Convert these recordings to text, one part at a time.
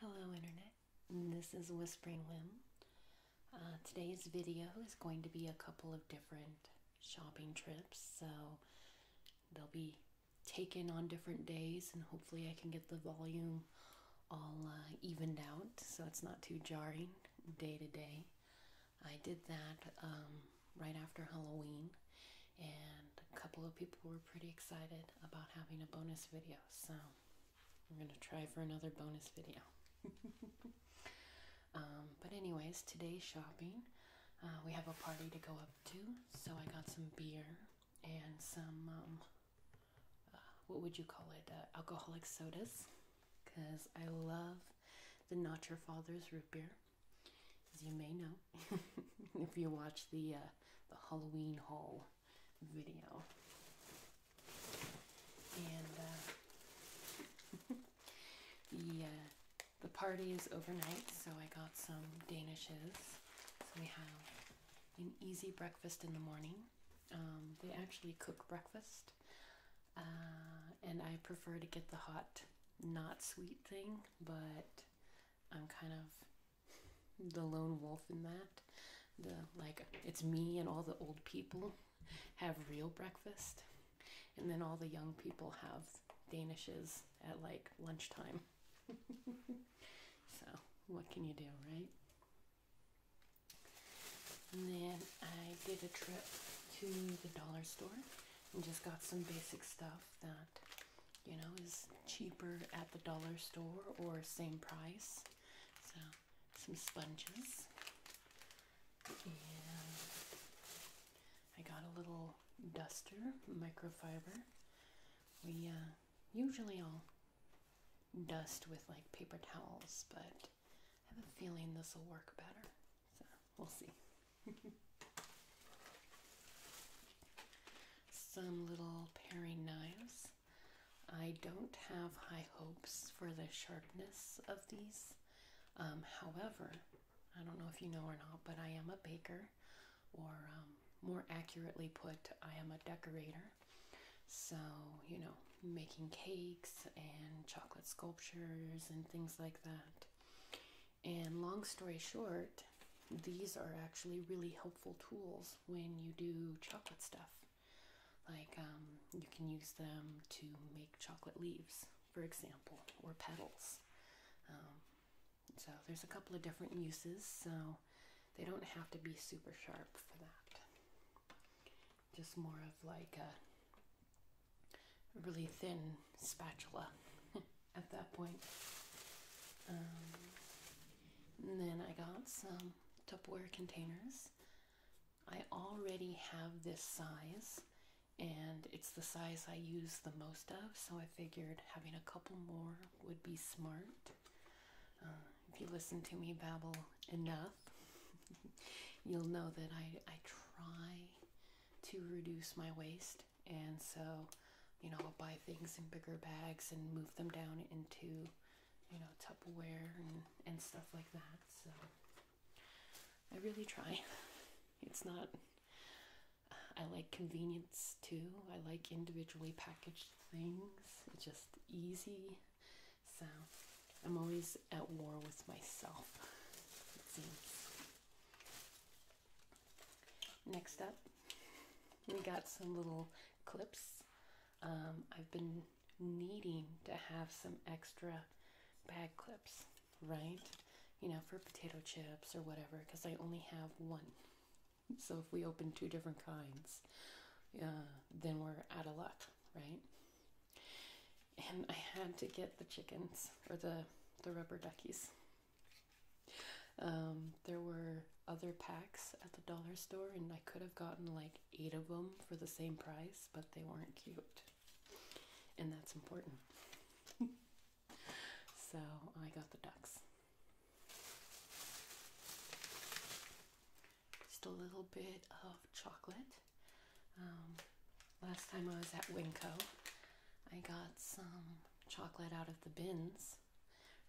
Hello Internet, this is Whispering Whim. Uh, today's video is going to be a couple of different shopping trips, so they'll be taken on different days and hopefully I can get the volume all uh, evened out so it's not too jarring day to day. I did that um, right after Halloween, and a couple of people were pretty excited about having a bonus video. So I'm gonna try for another bonus video. Um, but anyways, today's shopping. Uh, we have a party to go up to, so I got some beer and some um, uh, what would you call it? Uh, alcoholic sodas, because I love the Not Your Father's root beer as you may know if you watch the uh, the Halloween haul video. And uh, the uh, the party is overnight, so I got some Danishes. So we have an easy breakfast in the morning. Um, they actually cook breakfast, uh, and I prefer to get the hot, not sweet thing, but I'm kind of the lone wolf in that. The like it's me and all the old people have real breakfast, and then all the young people have Danishes at like lunchtime. so what can you do, right? And then I did a trip to the dollar store and just got some basic stuff that you know, is cheaper at the dollar store or same price. So, some sponges. And I got a little duster, microfiber. We uh, usually all dust with like paper towels, but I have a feeling this will work better. So. We'll see. Some little paring knives. I don't have high hopes for the sharpness of these. Um, however, I don't know if you know or not, but I am a baker, or um, more accurately put, I am a decorator. So, you know, making cakes and chocolate sculptures and things like that. And long story short, these are actually really helpful tools when you do chocolate stuff. Like um, you can use them to make chocolate leaves, for example, or petals. Um, so there's a couple of different uses, so they don't have to be super sharp for that. Just more of like a a really thin spatula at that point. Um, and then I got some Tupperware containers. I already have this size and it's the size I use the most of, so I figured having a couple more would be smart. Um, if you listen to me babble enough, you'll know that I, I try to reduce my waste and so you know I'll buy things in bigger bags and move them down into you know Tupperware and and stuff like that so I really try it's not I like convenience too I like individually packaged things it's just easy so I'm always at war with myself Next up, we got some little clips. Um, I've been needing to have some extra bag clips, right? You know, for potato chips or whatever, because I only have one. So if we open two different kinds, uh, then we're out of luck, right? And I had to get the chickens or the the rubber duckies um, there were other packs at the dollar store, and I could have gotten like eight of them for the same price, but they weren't cute, and that's important. so I got the ducks. Just a little bit of chocolate. Um, Last time I was at Winco, I got some chocolate out of the bins,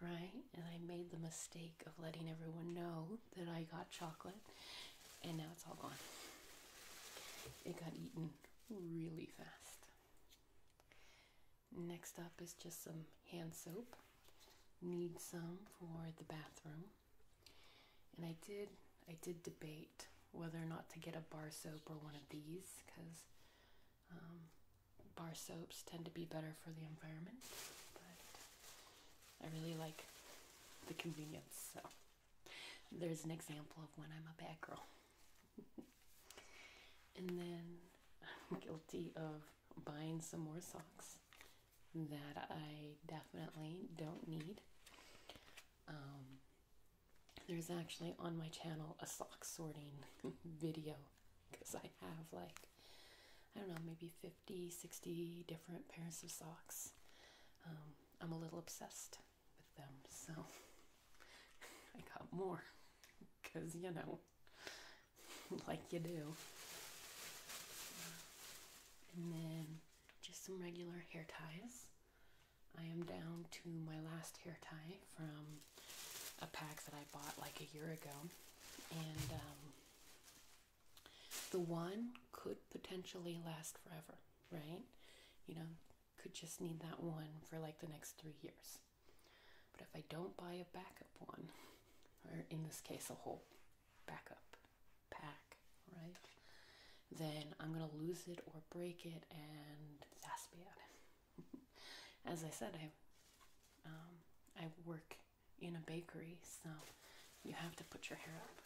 right? And I made the mistake of letting everyone know that I got chocolate, and now it's all gone. It got eaten really fast. Next up is just some hand soap. Need some for the bathroom. And I did I did debate whether or not to get a bar soap or one of these because um, bar soaps tend to be better for the environment, but I really like the convenience. So there's an example of when I'm a bad girl. and then I'm guilty of buying some more socks that I definitely don't need. Um, there's actually on my channel a sock sorting video because I have like, I don't know, maybe 50, 60 different pairs of socks. Um, I'm a little obsessed with them, so I got more because, you know, like you do. And then just some regular hair ties. I am down to my last hair tie from a pack that I bought like a year ago, and um, the one could potentially last forever, right? You know, could just need that one for like the next three years. But if I don't buy a backup one, or in this case, a whole backup pack, right? Then I'm gonna lose it or break it, and that's bad. As I said, I um, I work in a bakery, so you have to put your hair up,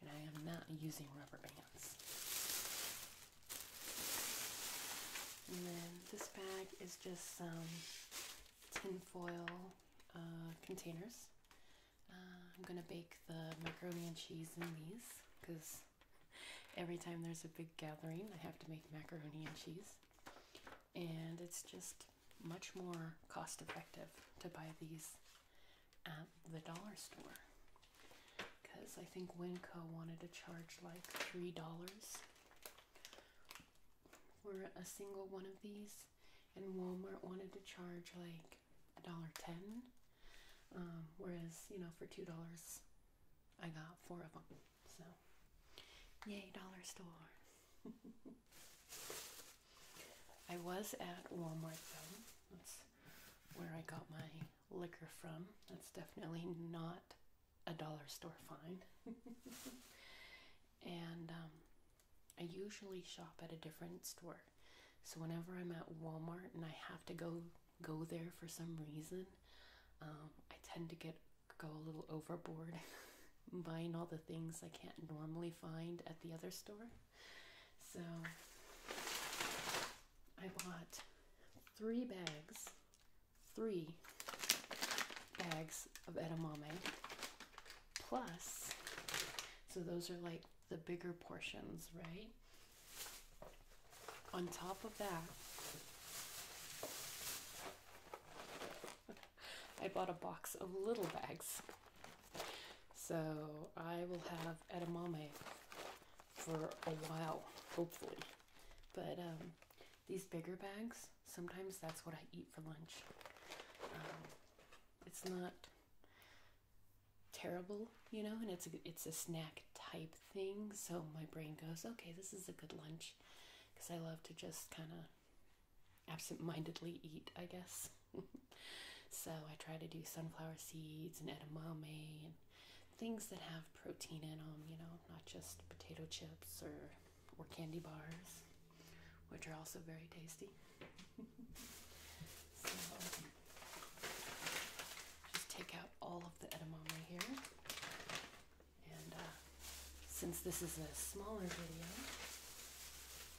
and I am not using rubber bands. And then this bag is just some tinfoil uh, containers uh, I'm gonna bake the macaroni and cheese in these because every time there's a big gathering, I have to make macaroni and cheese, and it's just much more cost effective to buy these at the dollar store because I think Winco wanted to charge like three dollars for a single one of these, and Walmart wanted to charge like like a dollar ten, um, whereas you know for two dollars, I got four of them. So, yay dollar store! I was at Walmart though. That's where I got my liquor from. That's definitely not a dollar store find. and um, I usually shop at a different store so whenever I'm at Walmart and I have to go go there for some reason, um, I tend to get go a little overboard buying all the things I can't normally find at the other store. So I bought three bags, three bags of edamame plus so those are like the bigger portions, right? On top of that, I bought a box of little bags. So I will have edamame for a while, hopefully. But um, these bigger bags, sometimes that's what I eat for lunch. Um, it's not terrible, you know, and it's a, it's a snack type thing. So my brain goes, okay, this is a good lunch because I love to just kind of absent-mindedly eat, I guess. so I try to do sunflower seeds and edamame and things that have protein in them, you know, not just potato chips or or candy bars, which are also very tasty so just take out all of the edamame here. And uh, since this is a smaller video,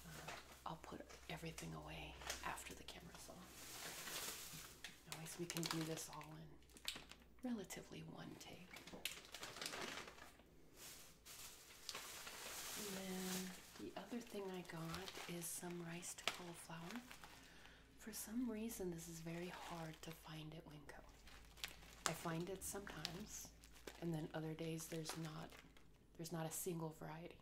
uh, I'll put everything away after the camera's off. At least we can do this all in relatively one take. And the other thing I got is some rice cauliflower. For some reason, this is very hard to find at Winco. I find it sometimes, and then other days there's not there's not a single variety.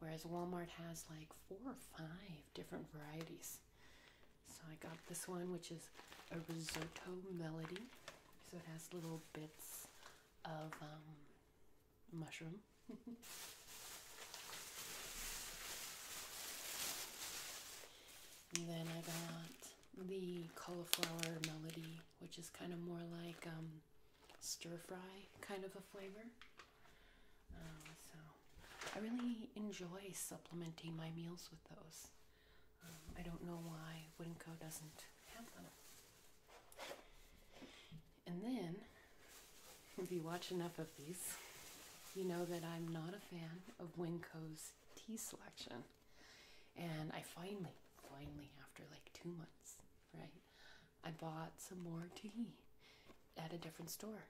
Whereas Walmart has like four or five different varieties. So I got this one, which is a risotto melody. So it has little bits of um, mushroom. and then I got the cauliflower melody, which is kind of more like um, stir fry kind of a flavor. Um, so I really enjoy supplementing my meals with those. Um, I don't know why Winco doesn't have them. And then, if you watch enough of these, you know that I'm not a fan of Winco's tea selection. And I finally, finally, after like two months, right, I bought some more tea at a different store.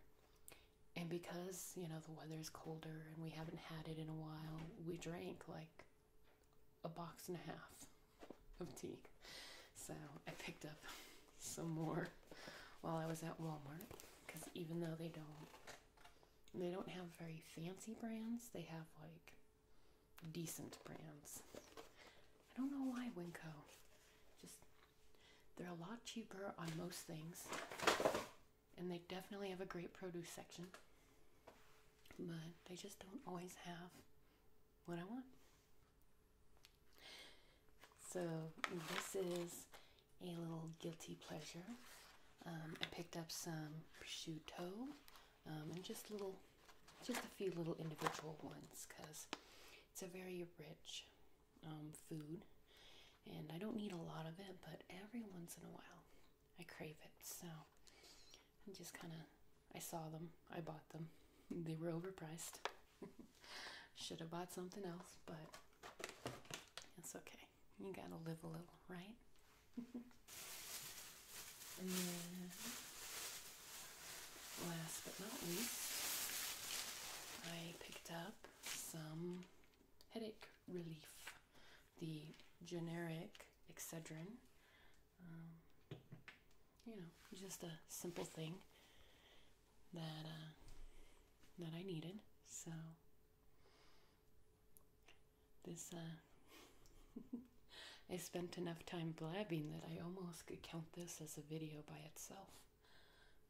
And because, you know, the weather is colder and we haven't had it in a while, we drank like a box and a half of tea. So I picked up some more while I was at Walmart because even though they don't they don't have very fancy brands, they have like decent brands. I don't know why Winco. Just they're a lot cheaper on most things. And they definitely have a great produce section. But they just don't always have what I want. So this is a little guilty pleasure. Um, I picked up some prosciutto um, and just little, just a few little individual ones because it's a very rich um, food, and I don't need a lot of it, but every once in a while I crave it. So and just kind of I saw them, I bought them. They were overpriced. Should have bought something else, but it's okay. You gotta live a little, right? and then, last but not least, I picked up some headache relief, the generic Excedrin. Um, you know, just a simple thing that uh, that I needed. So this uh, I spent enough time blabbing that I almost could count this as a video by itself.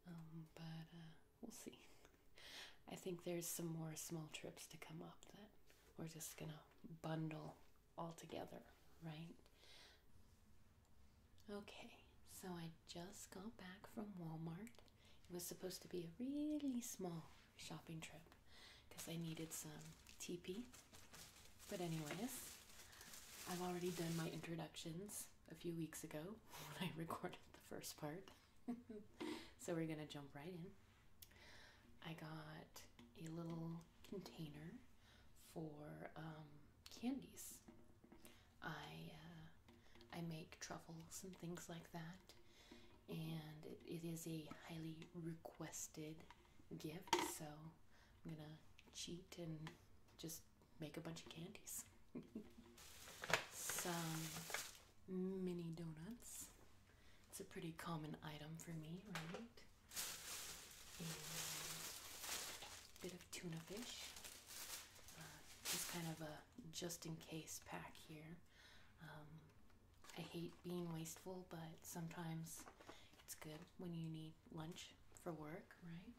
Um, but uh, we'll see. I think there's some more small trips to come up that we're just gonna bundle altogether, right? Okay, so I just got back from Walmart. It was supposed to be a really small shopping trip because I needed some TP. But, anyways, I've already done my introductions a few weeks ago when I recorded the first part. so, we're gonna jump right in. I got a little container for um, candies. I uh, I make truffles and things like that, and it is a highly requested gift. So I'm gonna cheat and just make a bunch of candies. Some mini donuts. It's a pretty common item for me, right? a bit of tuna fish. Uh, kind of a just in case pack here. Um, I hate being wasteful, but sometimes it's good when you need lunch for work, right?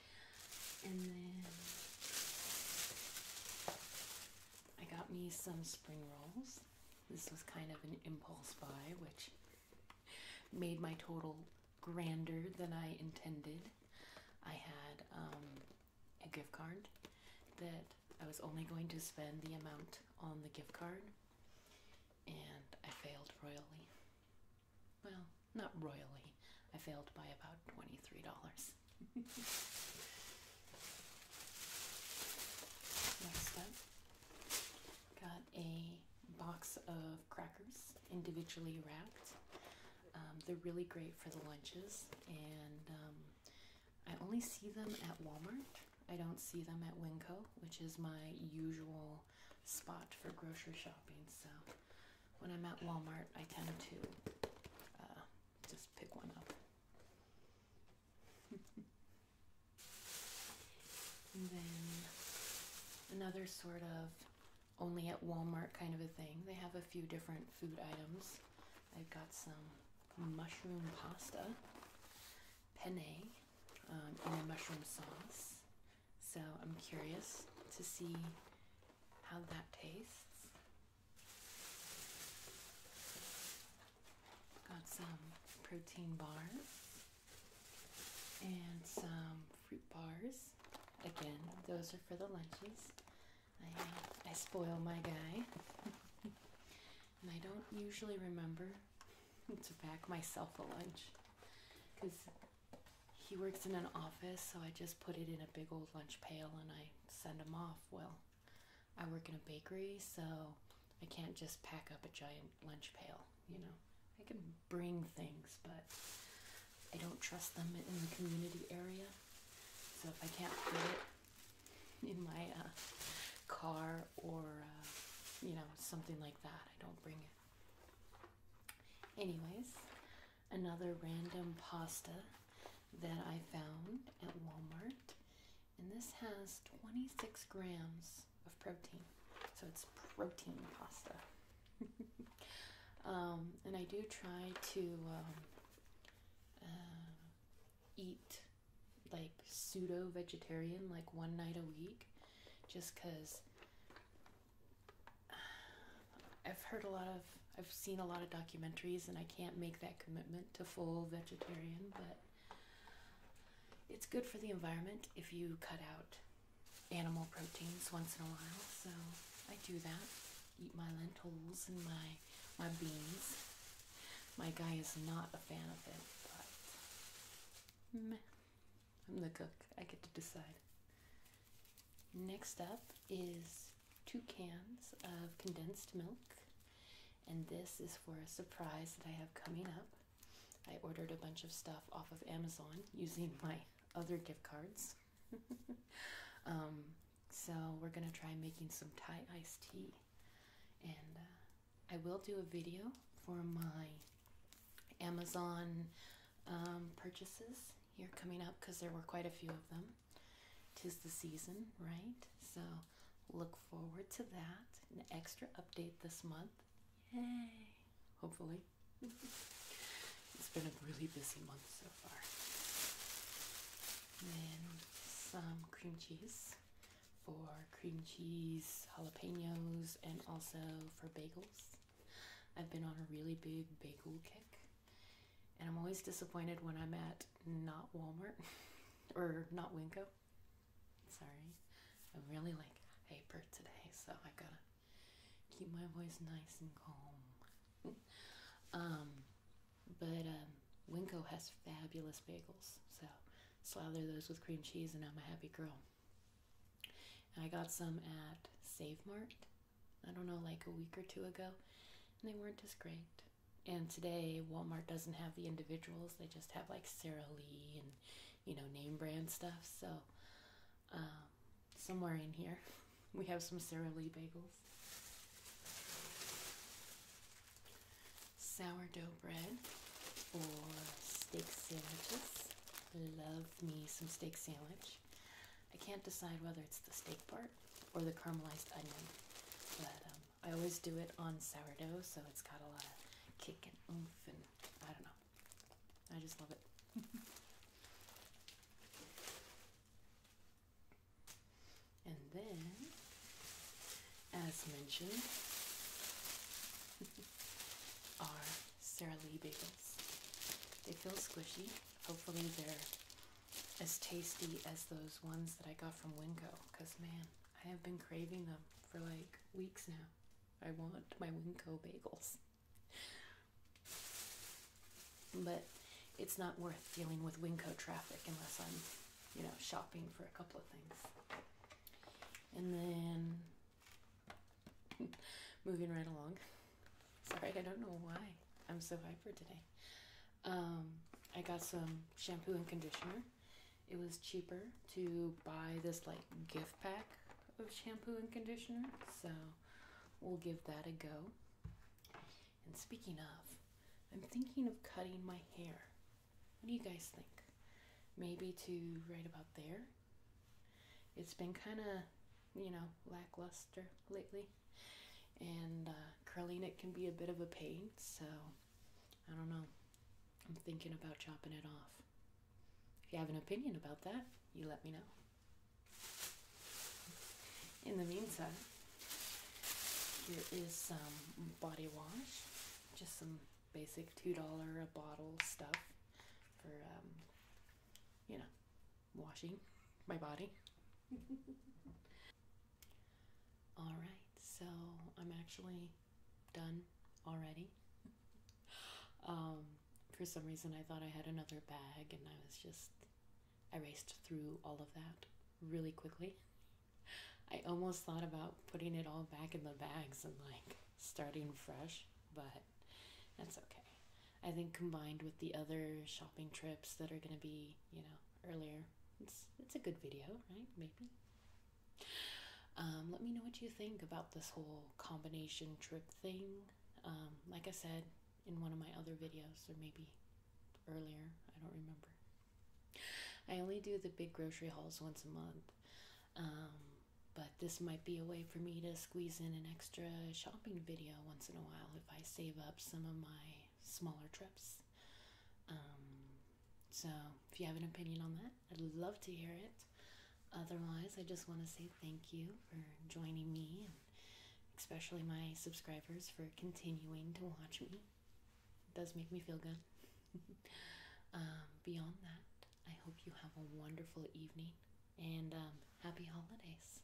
and then I got me some spring rolls. This was kind of an impulse buy, which made my total grander than I intended. I had um, a gift card that I was only going to spend the amount on the gift card, and I failed royally. Well, not royally, I failed by about $23. Next up, Got a box of crackers, individually wrapped. Um, they're really great for the lunches, and um, I only see them at Walmart. I don't see them at Winco, which is my usual spot for grocery shopping. So when I'm at Walmart, I tend to uh, just pick one up and then another sort of only at Walmart kind of a thing. They have a few different food items. I've got some mushroom pasta, penne, in um, a mushroom sauce. So I'm curious to see how that tastes. Got some protein bars and some fruit bars. Again, those are for the lunches. I I spoil my guy, and I don't usually remember to pack myself a lunch because he works in an office, so I just put it in a big old lunch pail and I send him off. Well, I work in a bakery, so I can't just pack up a giant lunch pail, you know. I can bring things, but I don't trust them in the community area. So if I can't fit it in my uh, car or, uh, you know, something like that, I don't bring it. Anyways, another random pasta that I found at Walmart and this has 26 grams of protein. So it's protein pasta. Um, and I do try to um, uh, eat like pseudo vegetarian like one night a week just because I've heard a lot of, I've seen a lot of documentaries and I can't make that commitment to full vegetarian, but it's good for the environment if you cut out animal proteins once in a while, so I do that. Eat my lentils and my my beans. My guy is not a fan of it, but I'm the cook. I get to decide. Next up is two cans of condensed milk. And this is for a surprise that I have coming up. I ordered a bunch of stuff off of Amazon using my other gift cards. Um, so we're gonna try making some Thai iced tea, and uh, I will do a video for my Amazon um, purchases here coming up because there were quite a few of them. Tis the season, right? So look forward to that. An extra update this month. Yay! Hopefully. it's been a really busy month so far. And some cream cheese for cream cheese, jalapenos, and also for bagels. I've been on a really big bagel kick. And I'm always disappointed when I'm at not Walmart or not Winco. Sorry, I'm really like hyper today, so I gotta keep my voice nice and calm. um, but um, Winco has fabulous bagels, so slather those with cream cheese, and I'm a happy girl. I got some at Save Mart. I don't know, like a week or two ago, and they weren't as great. And today, Walmart doesn't have the individuals; they just have like Sara Lee and you know name brand stuff. So, um, somewhere in here, we have some Sara Lee bagels, sourdough bread, or steak sandwiches. Love me some steak sandwich. I can't decide whether it's the steak part or the caramelized onion, but um, I always do it on sourdough, so it's got a lot of kick and oomph, and I don't know. I just love it. and then, as mentioned, are Sara Lee bagels. They feel squishy. Hopefully, they're as tasty as those ones that I got from Winco. Because, man, I have been craving them for like weeks now. I want my Winco bagels. But it's not worth dealing with Winco traffic unless I'm, you know, shopping for a couple of things. And then moving right along. Sorry, I don't know why I'm so hyper today. Um, I got some shampoo and conditioner. It was cheaper to buy this like gift pack of shampoo and conditioner, so we'll give that a go. And speaking of, I'm thinking of cutting my hair. What do you guys think? Maybe to right about there? It's been kind of, you know, lackluster lately, and uh, curling it can be a bit of a pain, so I don't know. I'm thinking about chopping it off. If you have an opinion about that, you let me know. In the meantime, here is some body wash, just some basic $2 a bottle stuff for, um, you know, washing my body. All right, so I'm actually done already. Um, for some reason, I thought I had another bag, and I was just I raced through all of that really quickly. I almost thought about putting it all back in the bags and like starting fresh, but that's okay. I think combined with the other shopping trips that are going to be, you know, earlier. It's it's a good video, right? Maybe. Um, let me know what you think about this whole combination trip thing. Um, like I said in one of my other videos, or maybe earlier, I don't remember. I only do the big grocery hauls once a month, um, but this might be a way for me to squeeze in an extra shopping video once in a while if I save up some of my smaller trips. Um, so, if you have an opinion on that, I'd love to hear it. Otherwise, I just want to say thank you for joining me, and especially my subscribers for continuing to watch me. It does make me feel good. Um, beyond that, I hope you have a wonderful evening and um, happy holidays.